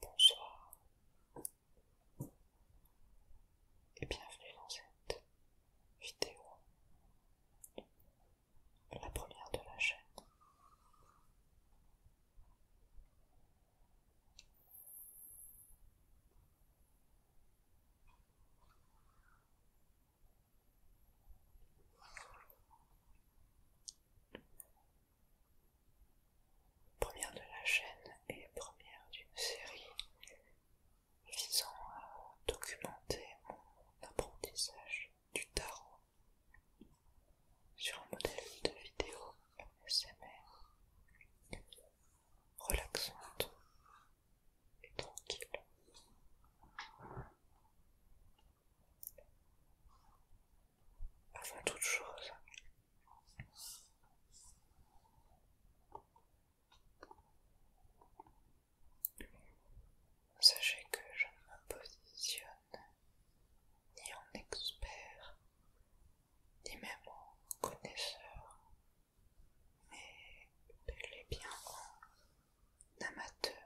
Bonsoir et bienvenue dans cette vidéo, la première de la chaîne première de la chaîne et première d'une série visant à documenter mon apprentissage du tarot sur un modèle de vidéo ASMR relaxante et tranquille. Avant toute chose, sachez que je ne me positionne ni en expert, ni même en connaisseur, mais bel et bien en amateur.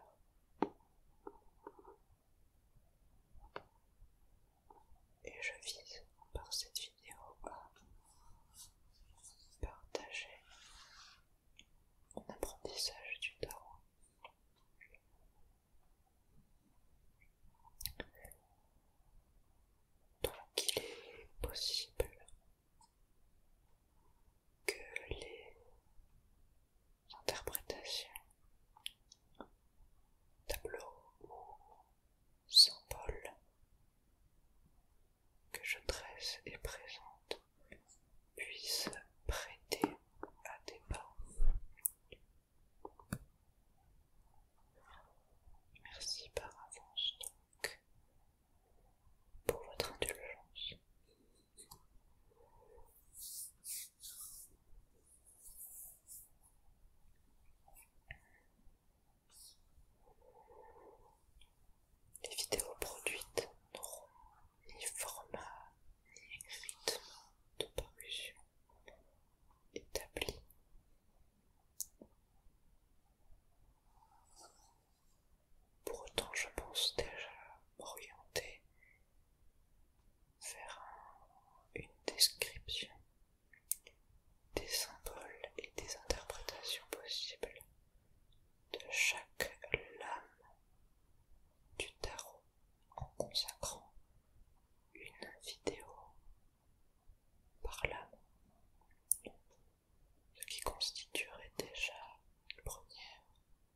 Et je vise par cette vidéo à partager mon apprentissage du tarot. Donc il est possible que les interprétation, tableau ou symbole que je dresse et présente puisse prêter à débat. Merci par avance donc pour votre indulgence. Les vidéos produites n'auront ni format ni rythme de parution établi. Pour autant, je pense déjà m'orienter faire une description des symboles et des interprétations possibles de chaque lame du tarot en consacrant une vidéo par lame, ce qui constituerait déjà une première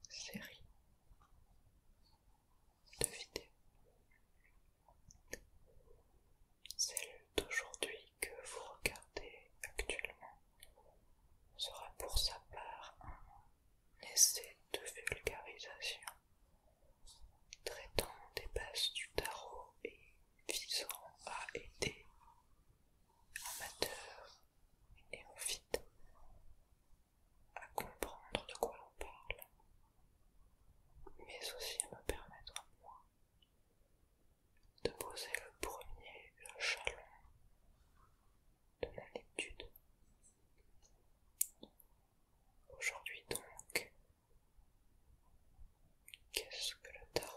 série de vidéo. Celle d'aujourd'hui que vous regardez actuellement sera pour sa part un essai de vulgarisation traitant des bases du tarot et visant à aider amateurs et néophytes à comprendre de quoi l'on parle, mais aussi à me permettre, moi, de poser le premier chalon de mon étude. Aujourd'hui donc, qu'est-ce que le tarot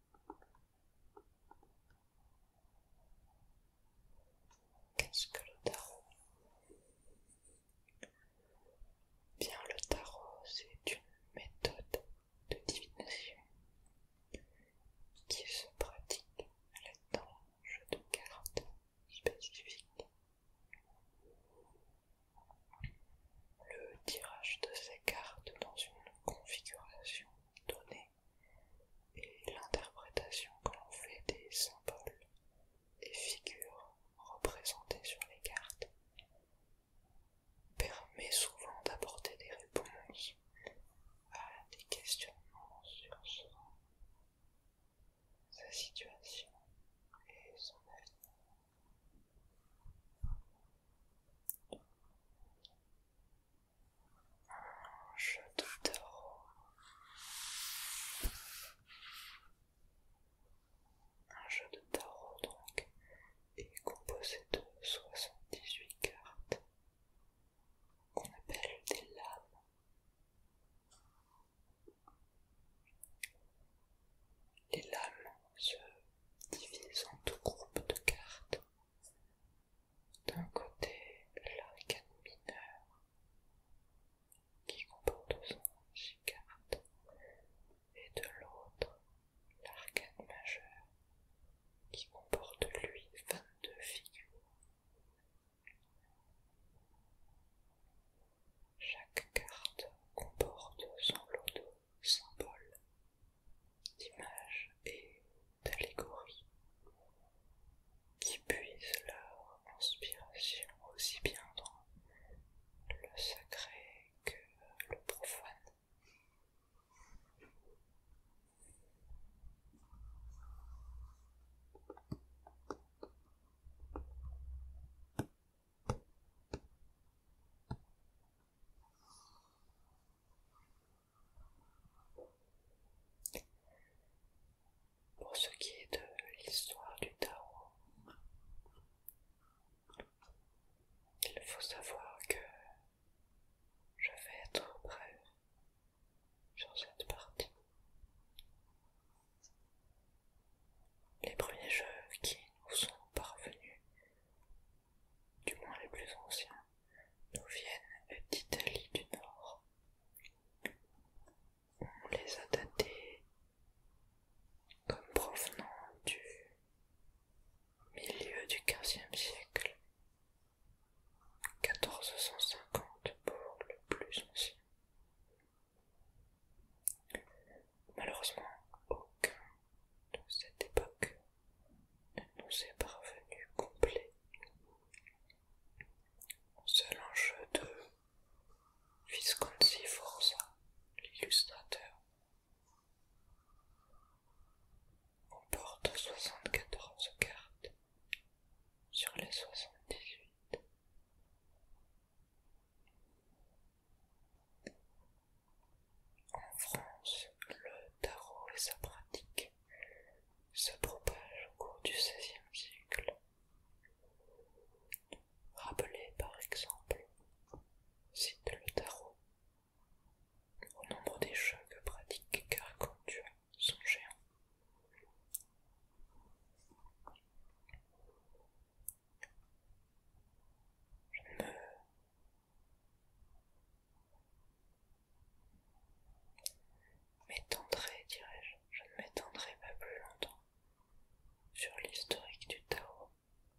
Qu'est-ce que le tarot Bien, le tarot, c'est une méthode de divination qui se pratique à l'aide d'un jeu de cartes spécifique. Le tirage de ces cartes dans une configuration donnée et l'interprétation que l'on fait des symboles et figures représentées sur les cartes permet souvent d'apporter des réponses à des questionnements sur sa situation et son avenir. Un jeu de tarot Un jeu de tarot donc est composé de 78 cartes qu'on appelle des lames. Les lames se divise en deux groupes de cartes. D'un côté, l'arcane mineur qui comporte 111 cartes, et de l'autre, l'arcane majeur qui comporte lui 22 figures. Chaque carte comporte son lot de symboles, d'images et d'allégories qui puisent leur inspiration aussi bien dans le sacré que le profane. Pour ce qui est de l'histoire du Tao il faut savoir que je vais être bref sur cette partie. Les premiers jeux qui nous sont parvenus du moins les plus anciens, nous viennent d'Italie du Nord. On les a datés comme provenant du milieu du 15 15e siècle, 1450 pour le plus ancien. Malheureusement, aucun de cette époque nous est parvenu complet. Selon jeu de Visconti Forza, l'illustrateur. On porte 74 cartes sur les 78. En France, le tarot et sa pratique se propagent au cours du XVIe siècle. Rappelez par exemple, cite le tarot au nombre des jeux que pratique Caracandua, son géant. Je ne me M'étendrai, dirais-je, je ne m'étendrai pas plus longtemps. Sur l'historique du Tao,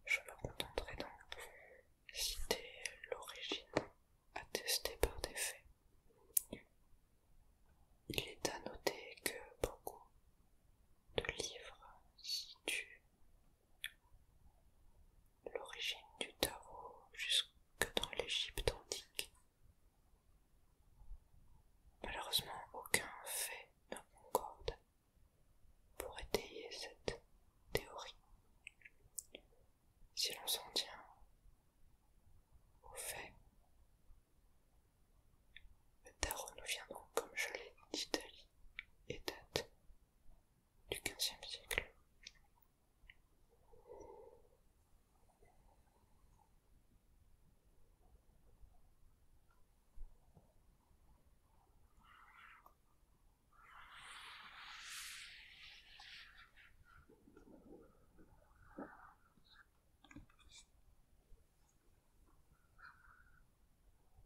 je me contenterai donc de citer l'origine attestée par des faits. Il est à noter que beaucoup de livres situent L'origine du tarot jusque dans l'Égypte antique. Malheureusement, aucun fait ne concorde pour étayer cette théorie. Si l'on s'en tient aux faits, le tarot nous vient donc, comme je l'ai dit, d'Italie et date du quinzième siècle.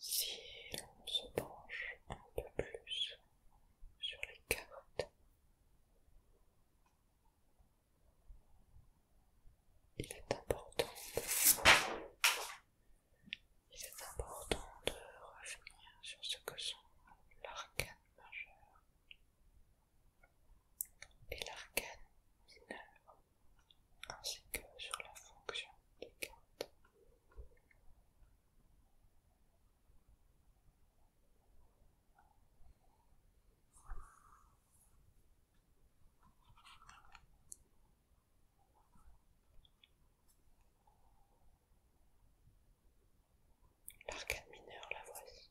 Si l'on se penche un peu plus sur les carottes. Il est important, il est important de revenir sur ce que sont l'arcane majeur et l'arcane mineur, ainsi que sur la fonction des cartes. L'arcade mineure, la voici.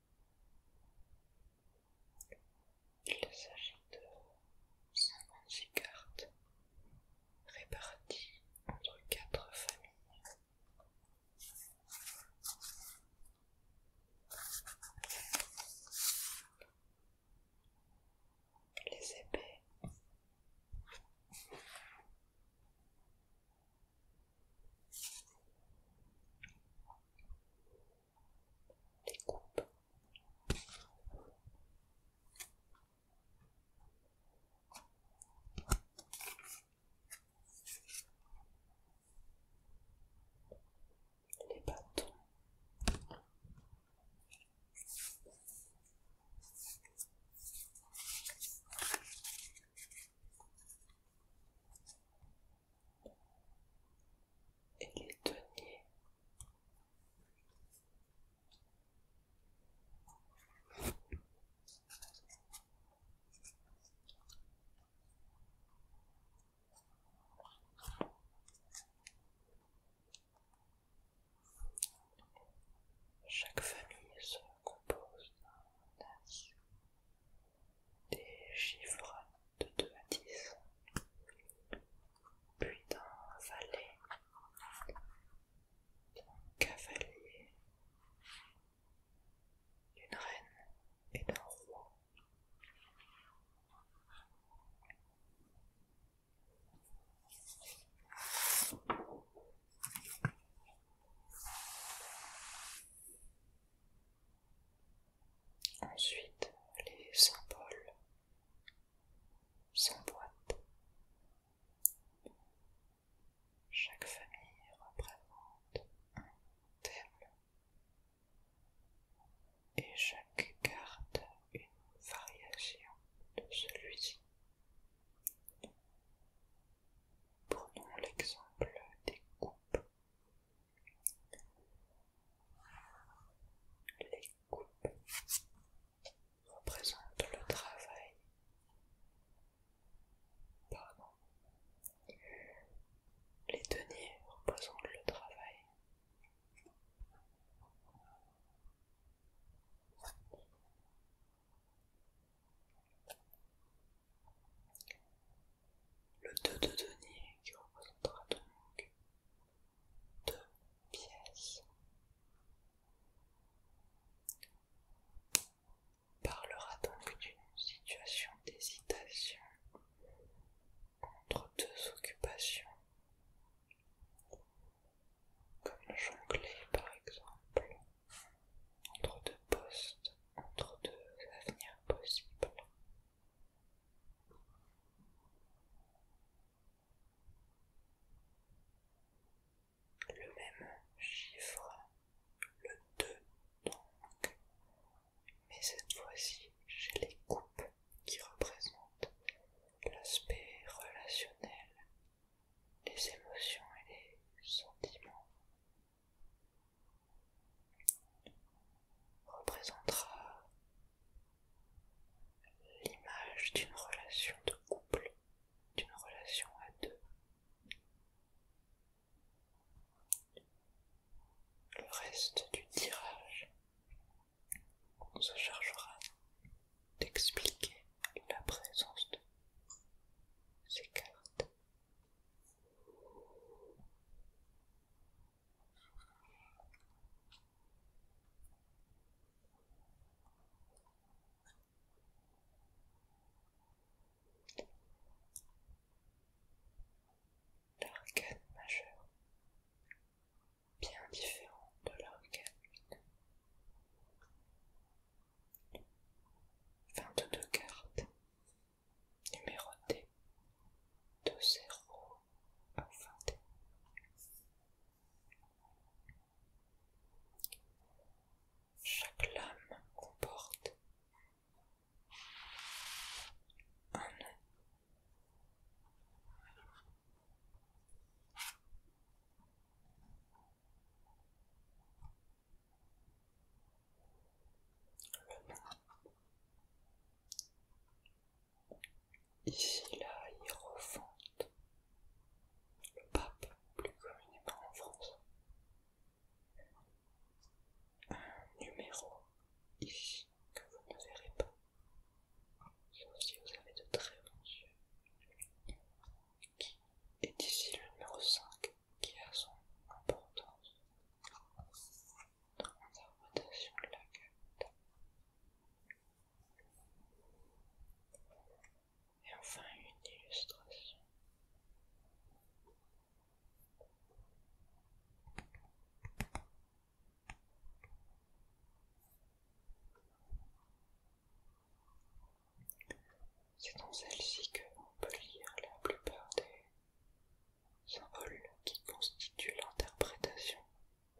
Il s'agit de 56 cartes réparties entre quatre familles. Les épées les coupes. Les bâtons et les deniers. Chaque famille se compose d'un as des chiffres de 2 à 10, puis d'un valet, d'un cavalier, d'une reine et d'un roi. Ensuite, les symboles boîte. Chaque famille représente un thème et chaque carte une variation de celui-ci. Prenons l'exemple des coupes. Les coupes représentent le travail. Pardon. Les deniers représentent le travail le 2 de denier qui représentera donc deux pièces parlera donc d'une situation d'hésitation entre deux occupations comme le jongler par exemple entre deux postes entre deux avenirs possibles le même chiffre, le 2 donc, mais cette fois-ci j'ai les coupes qui représentent l'aspect relationnel, les émotions et les sentiments représentera l'image d'une relation de couple, d'une relation à deux. Le reste du tirage on se chargera d'expliquer la présence de ces cartes. L'arcade majeur, bien différent de l'arcade. vingt 22 cartes numéroté de 0 à 21. Chaque lame comporte un nœud. Le nom Ici, la refonte, le pape plus communément en France. Un numéro ici que vous ne verrez pas, si vous avez de très bons yeux, qui est ici le numéro 5 qui a son importance de la Et enfin une illustration. C'est dans celle-ci que l'on peut lire la plupart des Symboles qui constitue l'interprétation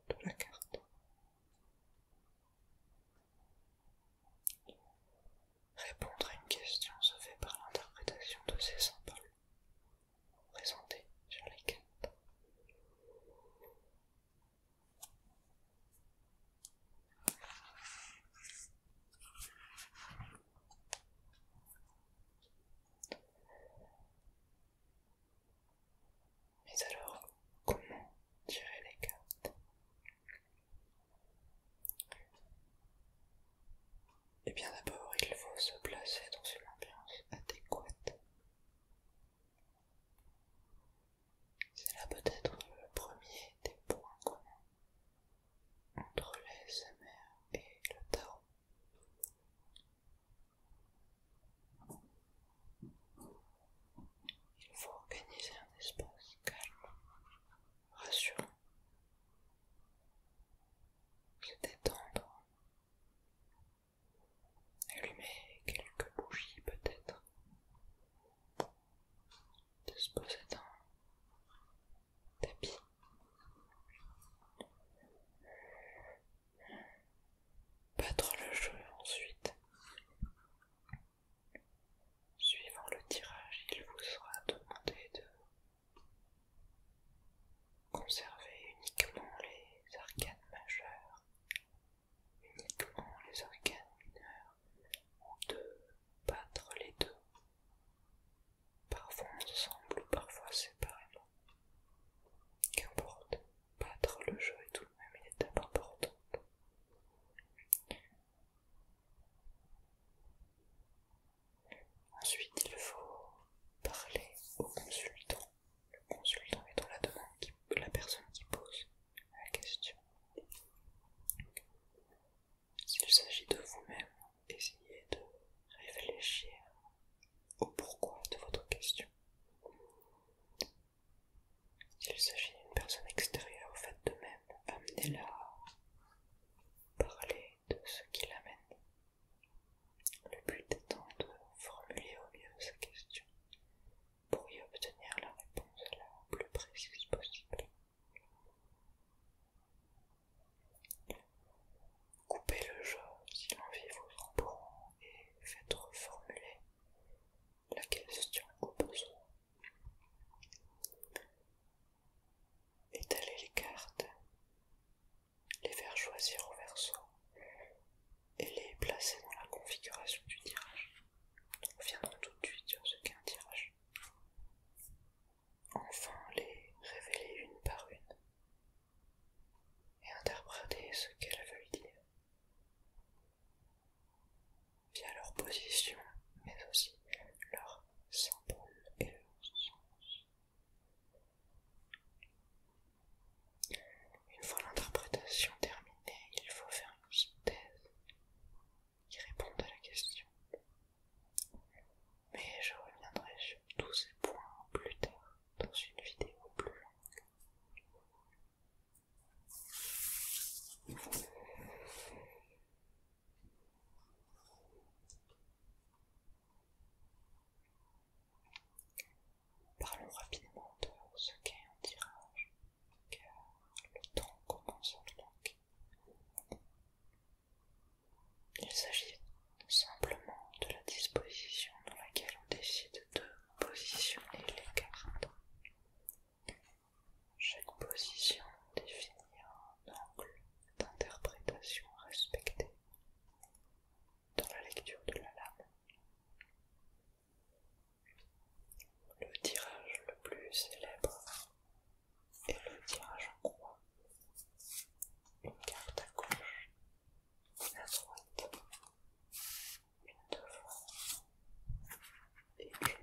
de la carte. Répondre à une question se fait par l'interprétation de ces symboles présentés sur les cartes. Mais alors, comment tirer les cartes et eh bien d'abord, il faut se placer dans une ambiance adéquate. C'est là peut-être le premier des points communs entre l'ASMR et le Tao il faut organiser un espace calme, rassurant, se détendre, allumer quelques bougies peut-être, se poser dans tapis. Battre le jeu ensuite. Suivant le tirage, il vous sera demandé de conserver uniquement les arcanes majeures, uniquement les arcanes mineures, ou de battre les deux, parfois ensemble ou parfois séparément. Qu'importe, battre le jeu ah, est tout de même une étape importante. Ensuite, il faut parler au consultant. Le consultant étant la, demande la personne qui pose la question. S'il s'agit de vous-même, essayez de réfléchir au pourquoi de votre question. S'il s'agit d'une personne extérieure, au fait de même, amenez-la à parler de ce qui l'amène. Le but étant de formuler au mieux sa question pour y obtenir la réponse la plus précise possible. Coupez le jeu si l'envie vous en et faites reformuler la question au besoin. Étalez les cartes, les faire choisir au verso et les placer dans la configuration du tirage. Nous reviendrons tout de suite sur ce qu'est un tirage. Enfin, les révéler une par une et interpréter ce qu'elles veulent dire via leur position, mais aussi leur symbole et leur sens. Une fois l'interprétation terminée, il faut faire une thèse qui réponde à la question. Mais je reviendrai sur tous ces points plus tard dans une vidéo plus longue. Parlons rapidement de ce qu'est un tirage, car le temps commence à donc manquer. Il s'agit simplement de la disposition dans laquelle on décide de positionner les cartes. Chaque position définit un angle d'interprétation respecté dans la lecture de la lame. Le tirage le plus célèbre est le tirage en croix. Une carte à gauche à droite, une devant et une derrière.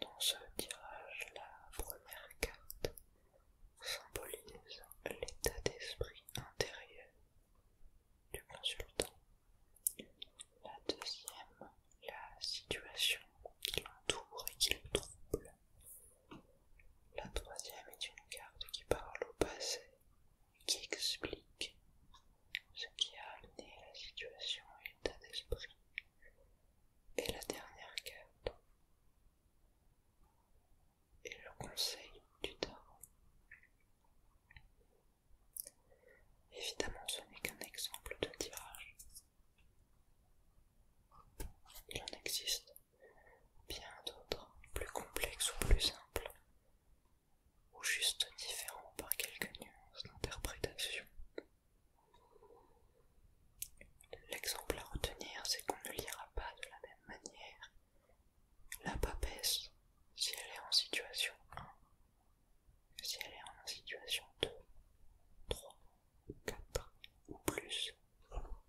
Dans ce tirage, la première carte symbolise l'état d'esprit intérieur du consultant. La deuxième, la situation qui l'entoure et qui le trouble. La troisième est une carte qui parle au passé qui explique ce qui a amené la situation et l'état d'esprit. Et la dernière carte est le conseil du tarot. Évidemment, ce n'est qu'un exemple de tirage, il en existe bien d'autres, plus complexes ou plus simples, ou juste différents par quelques nuances d'interprétation. L'exemple à retenir, c'est qu'on ne lira pas de la même manière la papesse si elle est en situation 1, si elle est en situation 2, 3, 4 ou plus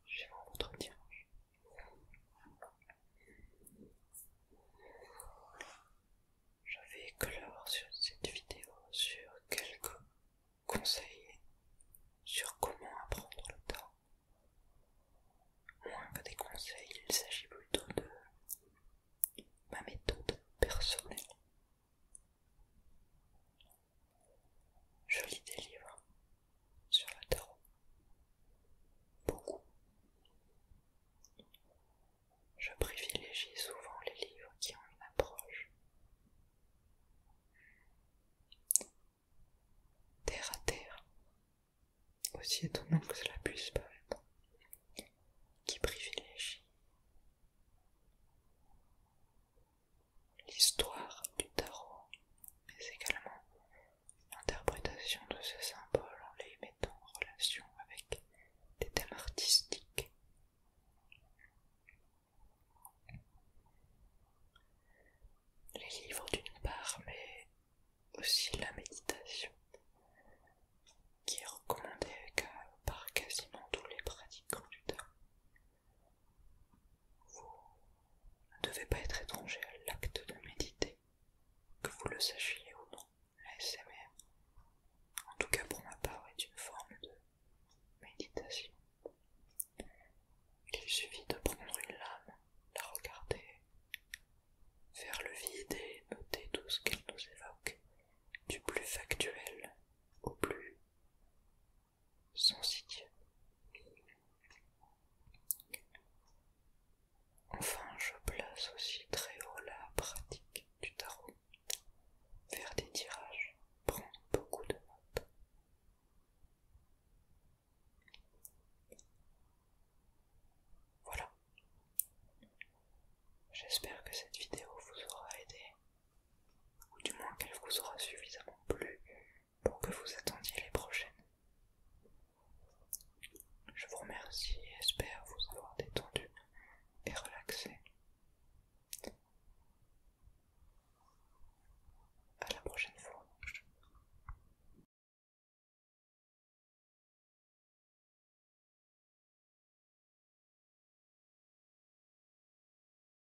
suivant votre tirage. Je vais clore sur cette vidéo sur quelques conseils sur comment apprendre le temps. Moins que des conseils, il s'agit plutôt de ma méthode personnelle. Je lis des livres sur le tarot. Beaucoup. Je privilégie souvent les livres qui ont une approche terre à terre, aussi étonnant que cela puisse paraître, qui privilégie l'histoire du tarot, mais également l'interprétation de ce symbole en les mettant en relation avec des thèmes artistiques. Les livres d'une part, mais aussi la méditation, qui est recommandée par quasiment tous les pratiquants du tarot. Vous ne devez pas être étranger à l'acte de méditer, que vous le sachiez ou non, la en tout cas pour ma part, est une forme de méditation. Il suffit de prendre une lame, la regarder, faire le vide et noter tout ce qu'elle nous évoque, du plus factuel au plus son site. Enfin, je place aussi très haut la pratique du tarot. Faire des tirages, prendre beaucoup de notes. Voilà. J'espère que cette vidéo vous aura aidé, ou du moins qu'elle vous aura suffisamment plu pour que vous attendiez les prochaines. Je vous remercie et espère vous avoir détendu et relaxé. À la prochaine fois.